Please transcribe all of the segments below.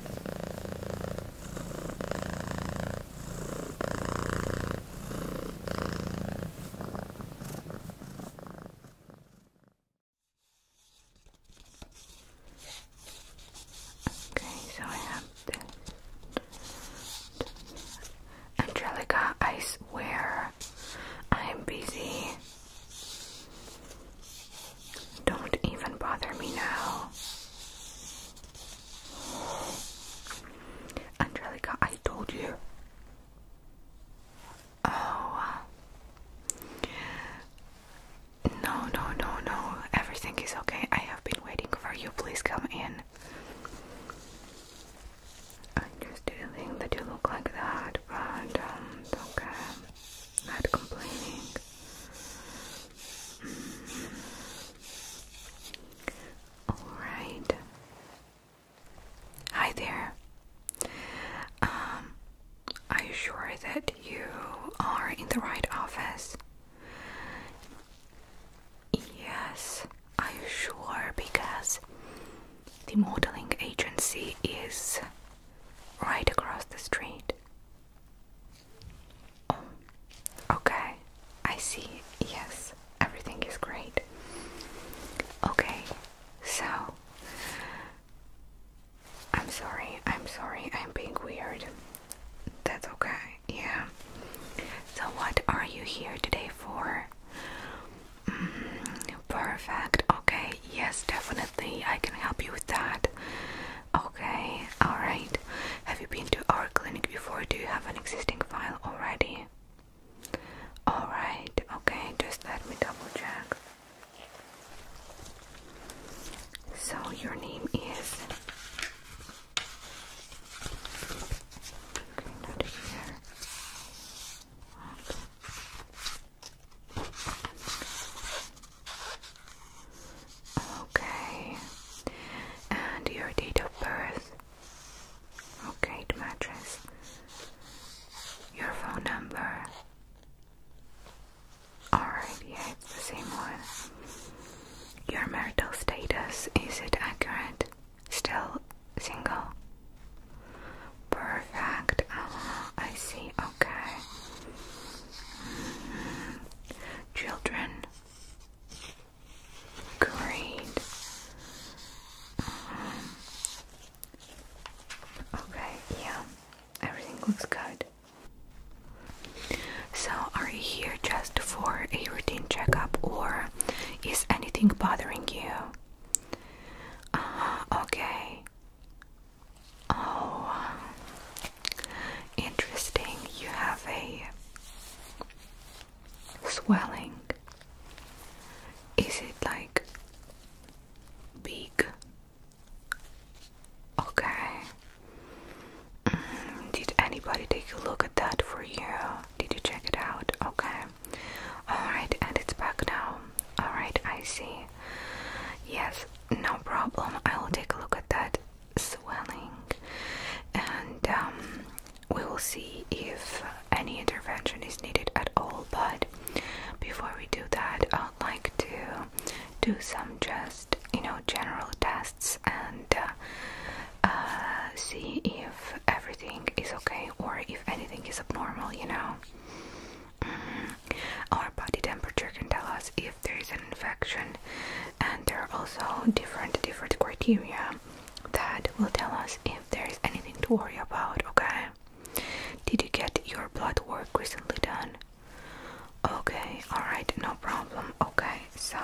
Okay, so I have this. Angelica, I swear I am busy. Don't even bother me now. Angelica, I told you. Oh. No, no, no, no. Everything is okay. I have been waiting for you. Please come in. I just did that you look like that, but um, okay not complaining. Alright. Hi there. Um, are you sure that you are in the right office? Yes, are you sure? Because the modeling agency is right across the street. Um, okay. I see. Yes, everything is great. Okay, so I'm sorry. I'm sorry. I'm being weird. That's okay. Yeah. So, what are you here today for? Mm, perfect. Okay. Yes, definitely. I can help you with that. Okay, alright. Have you been to our clinic before? Do you have an existing file already? Alright, okay, just let me double check. So, your name is. Okay, not here. Okay. And your date of birth? Okay, it matches. Your phone number? Alright, yeah, it's the same one. Your marital status, is it accurate? Still single? Perfect. Ah, I see. Okay. Mm-hmm children. Great. Mm-hmm. Okay, yeah, everything looks good. So, are you here just for a routine checkup or is anything bothering you? Uh, okay. Oh, interesting. You have a swelling. Is it like big? Okay. Mm, did anybody take a look at that for you? Did you check it out? Okay. Alright, and it's back now. Alright, I see. Yes, no problem. I will take a look at that swelling, and um, we will see if any intervention is needed at all. But before we do that, I'd like to do some just you know general tests and uh, uh, see if everything is okay or if anything is abnormal. You know, mm-hmm. our body temperature can tell us if there is an infection and there are also different different criteria that will tell us if there is anything to worry about okay did you get your blood work recently done okay all right no problem okay so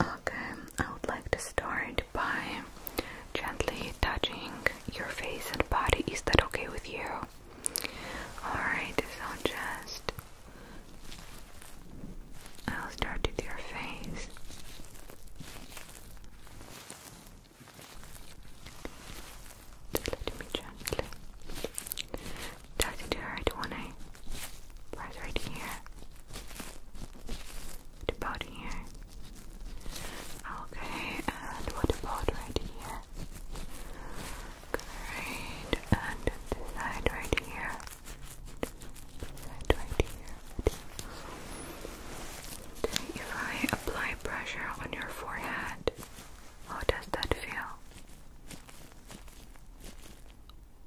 okay i would like to start by gently touching your face and body is that okay with you Alright, so just I'll start with your face. Just let me gently. Does it hurt when I press right here? What about here? Okay, and what about right here? Great. And right here. right here. if I apply pressure on your forehead, how does that feel?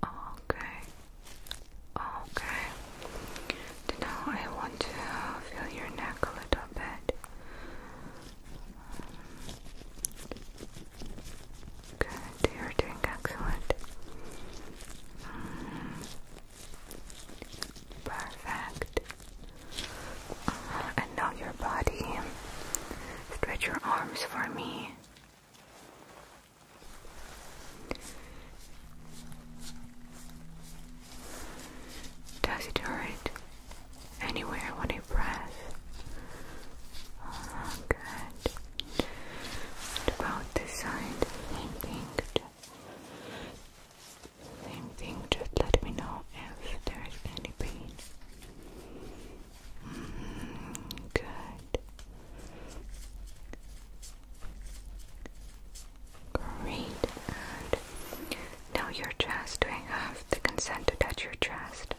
Okay. Okay. Now I want to feel your neck a little bit. Good, you're doing excellent. Mm, perfect. Uh, and now your body. Stretch your arms for me. Does it hurt? anywhere when I press. Oh, good. about this side, same thing. Same thing, just let me know if there is any pain. Mm, good. Great. And now your chest. Do I have the consent to touch your chest?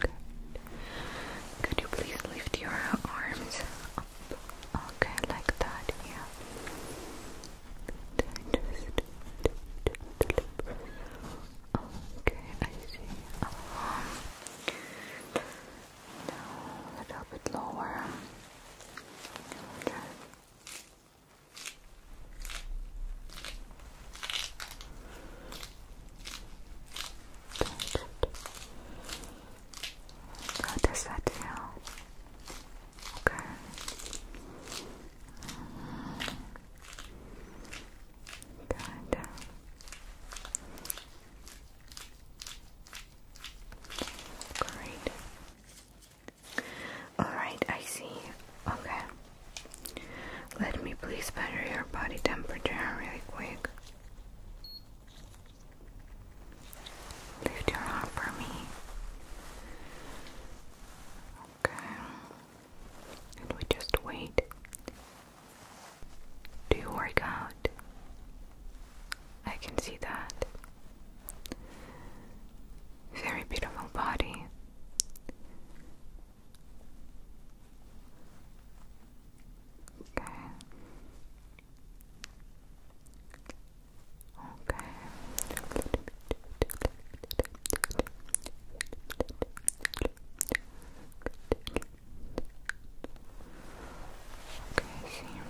Good. Could you please lift your arms up? Okay, like that, yeah. Okay, I see. Um, a little bit lower. How does that feel? Okay. Good. Great. All right, I see. Okay. Let me please measure your body temperature really quick. Lift your arm for me. Okay. And we just wait. Do you work out? I can see that. Very beautiful body. Okay. Okay. Okay, see.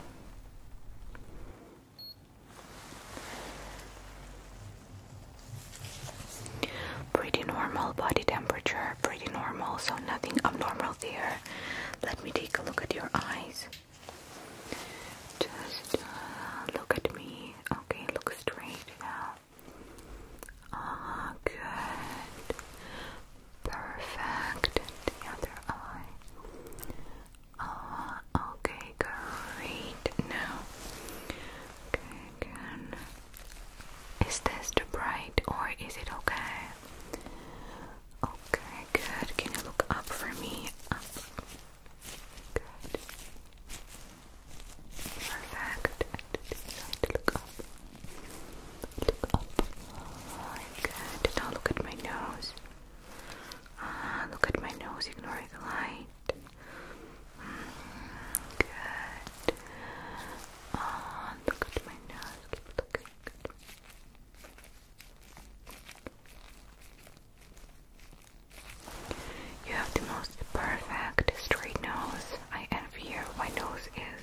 Pretty normal body temperature, pretty normal, so nothing abnormal there. Let me take a look at your eyes. Just uh, look at me. Okay, look straight now. Ah, good. Perfect. The other eye. Ah, okay, Okay, great. Now, okay, again. Is this too bright or is it okay? Okay, good. Can you look up for me? Good. Perfect. look up. Look up. Good. Now look at my nose. Ah, look at my nose. Ignore the light. Good. Oh, look at my nose. Keep looking. You have the most perfect straight nose. I envy you. My nose is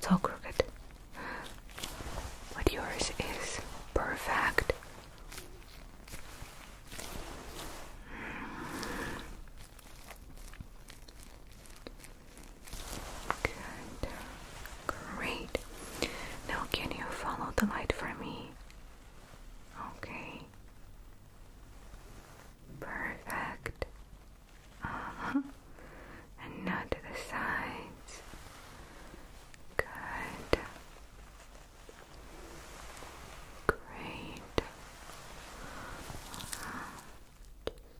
so crooked, but yours is perfect Good. Great. Now, can you follow the light for me? Okay. Perfect. Uh-huh. And now to the sides. Good. Great.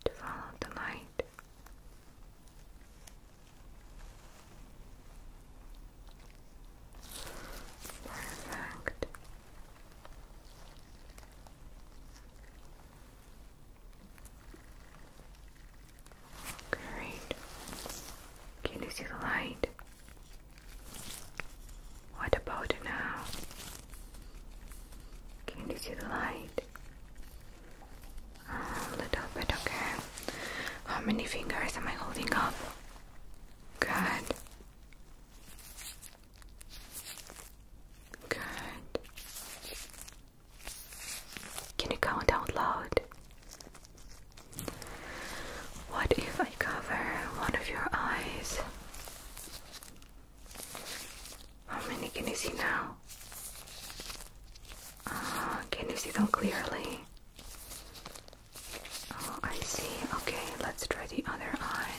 Just follow the light. Perfect. Great. Can you see the light? What about now? Can you see the light? a little bit, okay. How many fingers am I holding up? Good. Good. Can you count out loud? What if I cover one of your eyes? How many can you see now? Uh, can you see them clearly? Oh, I see. Okay, let's try the other eye.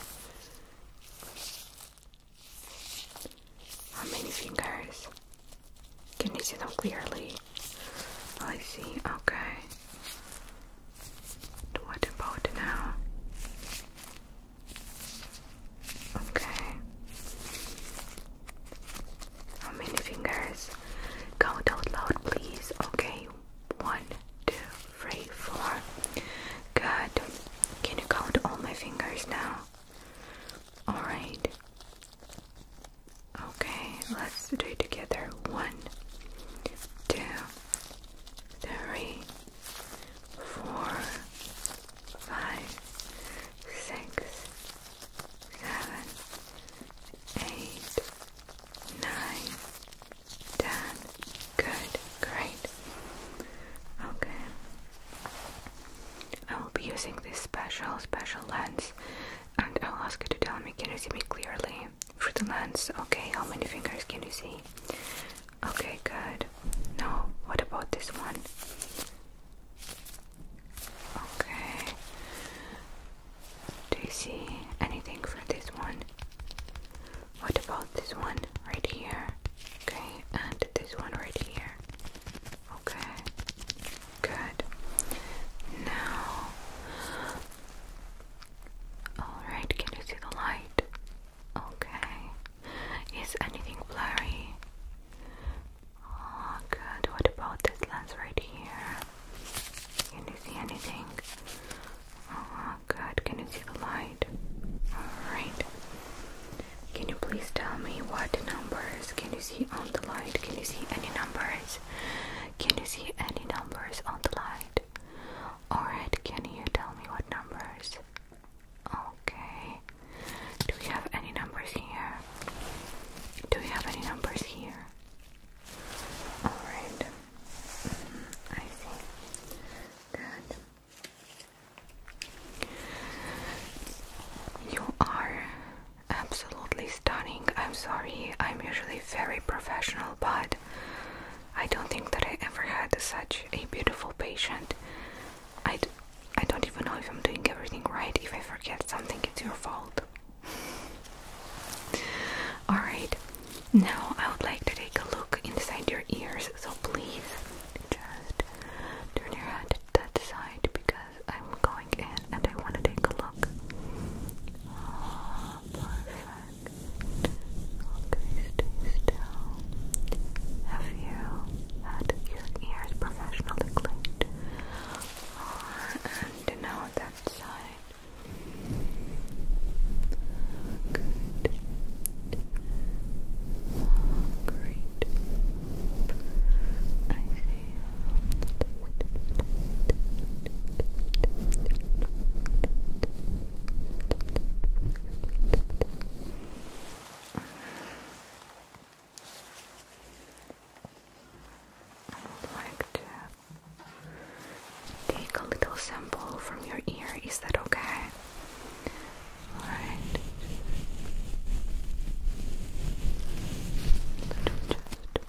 How many fingers? Can you see them clearly? I see, okay. What about now? Okay. How many fingers? Count out loud, please. Okay, one, two, three, four. Good. Can you count all my fingers now? Alright. Okay, let's do it together. One, two, three, four, five, six, seven, eight, nine, ten. Good, great. Okay. I will be using this special, special lens and I'll ask you to tell me can you see me clearly through the lens? Okay, how many fingers can you see? Okay, good. No. what about this one? Okay. Do you see anything for this one? What about this one right here? Okay, and this one right here. Okay. Good. Now, alright, can you see the light? Okay. Is anything blurry? Oh, good. What about this lens right here? Can you see anything? Oh, good. Can you see the light? Alright. Can you please tell me what numbers can you see on the light? Can you see any numbers? Can you see any numbers on the light? Alright, can you tell me what numbers? Okay. Do we have any numbers here? Do we have any numbers here? Alright. Mm-hmm. I see. Good. You are absolutely stunning. I'm sorry, I'm usually very professional, but I don't think that I ever had such a beautiful patient. I d I don't even know if I'm doing everything right. If I forget something, it's your fault. Alright, now I would like to take a look inside your ears, so please just turn your head to that side because I'm going and I want to take a look. Oh, okay, stay still. Have you had your ears professionally cleaned? Oh, and now that side. Good. Oh, great. I would like to take a little sample from your ear. Is that okay? All right. just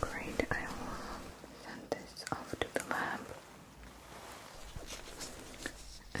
Great, I will send this off to the lab uh,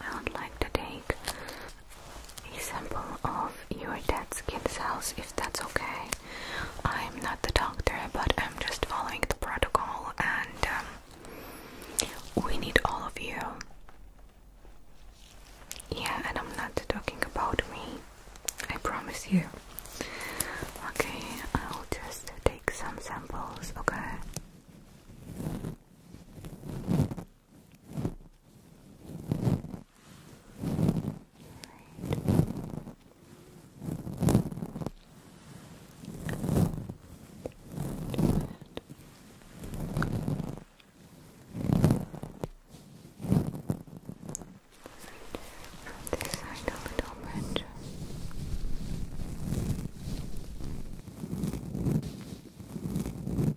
I would like to take a sample of your dead skin cells if that's okay. I'm not the doctor, but I'm just following the protocol, and um, we need all of you. Yeah, and I'm not talking about me, I promise you. Okay, I'll just take some samples, okay? From this side a little much. Good.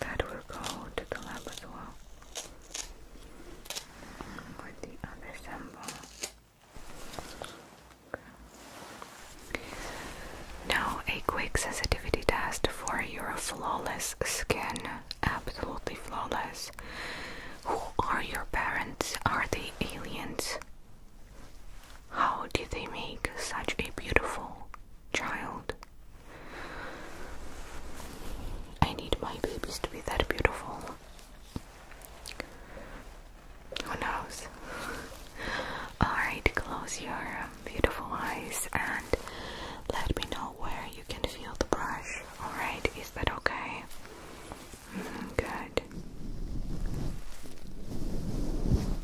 that will go to the lab as well. with the other sample. Now a quick sensitivity test for your flawless skin. Absolutely flawless. Who are your parents? Are they aliens? How did they make such a beautiful child? I need my babies to be that beautiful. Who knows? Alright, close your um, beautiful eyes and let me know where you can feel the brush. Alright, is that okay? Mm-hmm, good.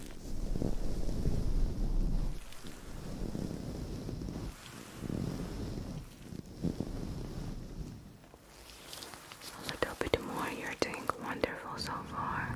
A little bit more, you're doing wonderful so far.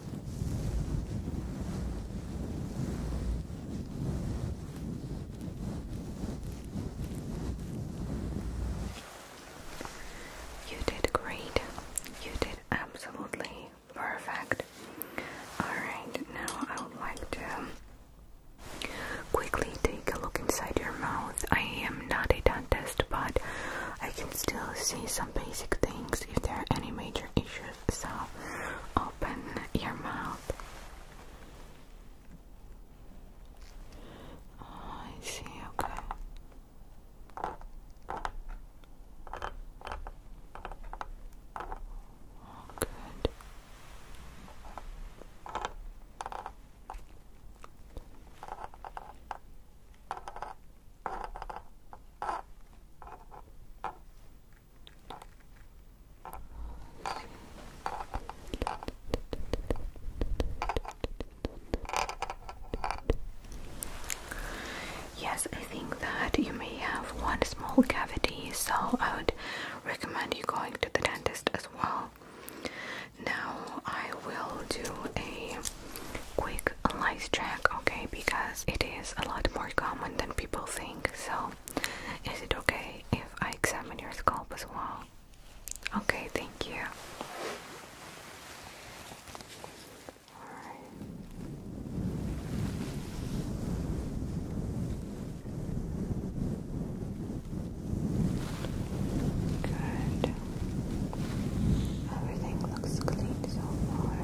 You did great. You did absolutely perfect. Alright, now I would like to quickly take a look inside your mouth. I am not a dentist, but I can still see some basic things if there are any major issues so open your mouth. Oh, I see, okay. Oh, good. Yes, I think that you may have one small cavity, so I would recommend you going to the dentist as well. Now, I will do a quick lice check, okay, because it is a lot more common than people think. So, is it okay if I examine your scalp as well? Okay, thank you. Good. Everything looks clean so far.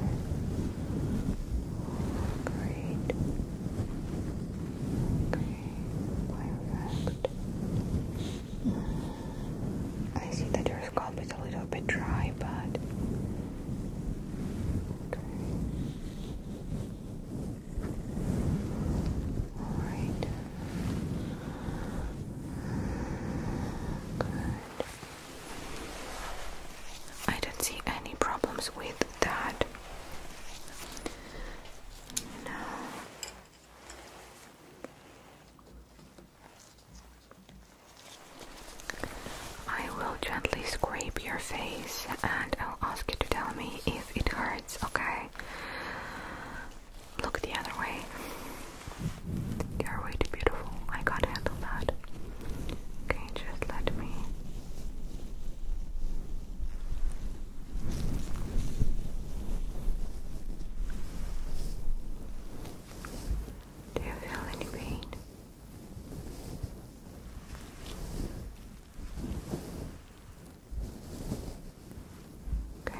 Great. Okay, perfect. I see that your scalp is a little bit dry, but okay. Good. I don't see any problems with that. I will gently scrape your face and I'll ask you to tell me if it hurts, okay? Look the other way. You're way too beautiful. I can't handle that. Okay, just let me. Do you feel any pain? Okay.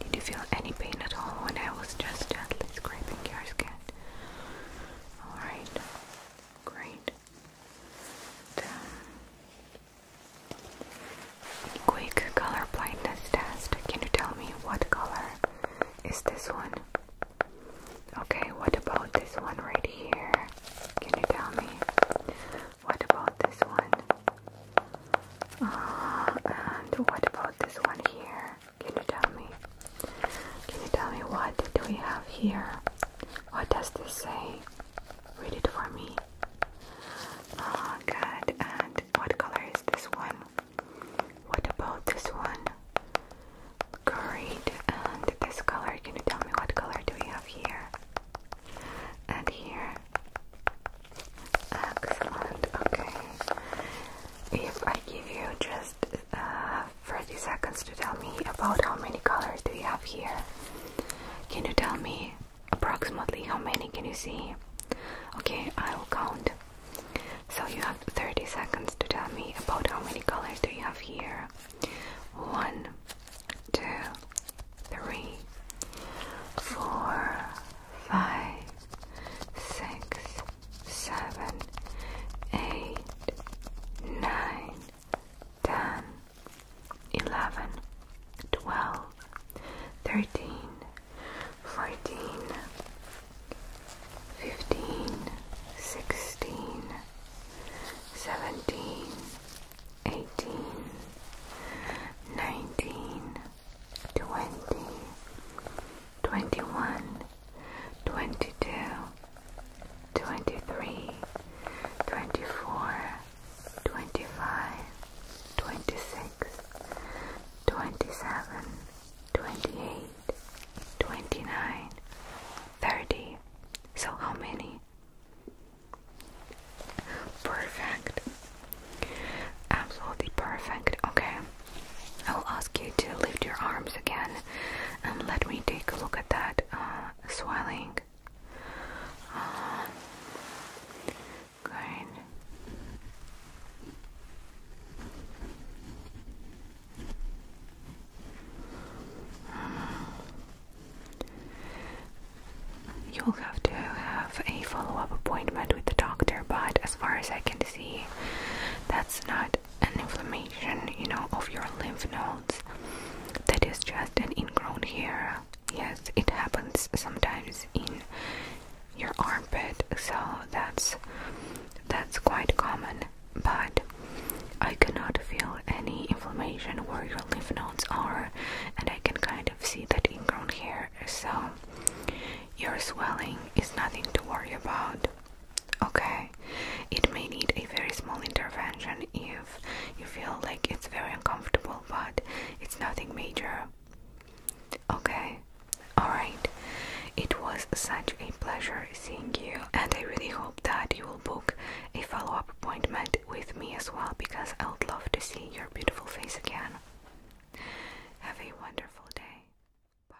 Did you feel any pain at all when I was just gently scraping your skin? Alright, great. quick color blindness test. Can you tell me what color is this one. Okay, what about this one right here? Can you tell me? What about this one? Uh, and what about this one here? Can you tell me? Can you tell me what do we have here? What does this say? Read it for me. Oh, good. And what color is this one? What about this one? Great. And this color, can you tell me what color do we have here? And here. Excellent. Okay. If I give you just uh, 30 seconds to tell me about how many colors do we have here, can you tell me approximately how many can you see? Okay, I will count. So you have 30 seconds to tell me about how many colors do you have here. One, two, three, four, five, six, seven, eight, nine, ten, eleven, twelve, thirteen, 14, 15, 16, 17, 18, 19, 20, 21, 22, 23, 24, 25, 26, 27, 28, 29, 30. So, how many? Perfect. Absolutely perfect. Okay. I'll ask you to lift your arms again and let me take a look at that uh, swelling. Uh, good. You'll have to have a follow up appointment with the doctor, but as far as I can see, that's not an inflammation, you know, of your lymph nodes. That is just an ingrown hair. Yes, it happens sometimes in your armpit so that's that's quite common but I cannot feel any inflammation where your lymph nodes are and I can kind of see that ingrown hair so your swelling is nothing to worry about okay it may need a very small intervention if you feel like it's very uncomfortable but it's nothing major Okay, alright. It was such a pleasure seeing you, and I really hope that you will book a follow up appointment with me as well because I would love to see your beautiful face again. Have a wonderful day. Bye.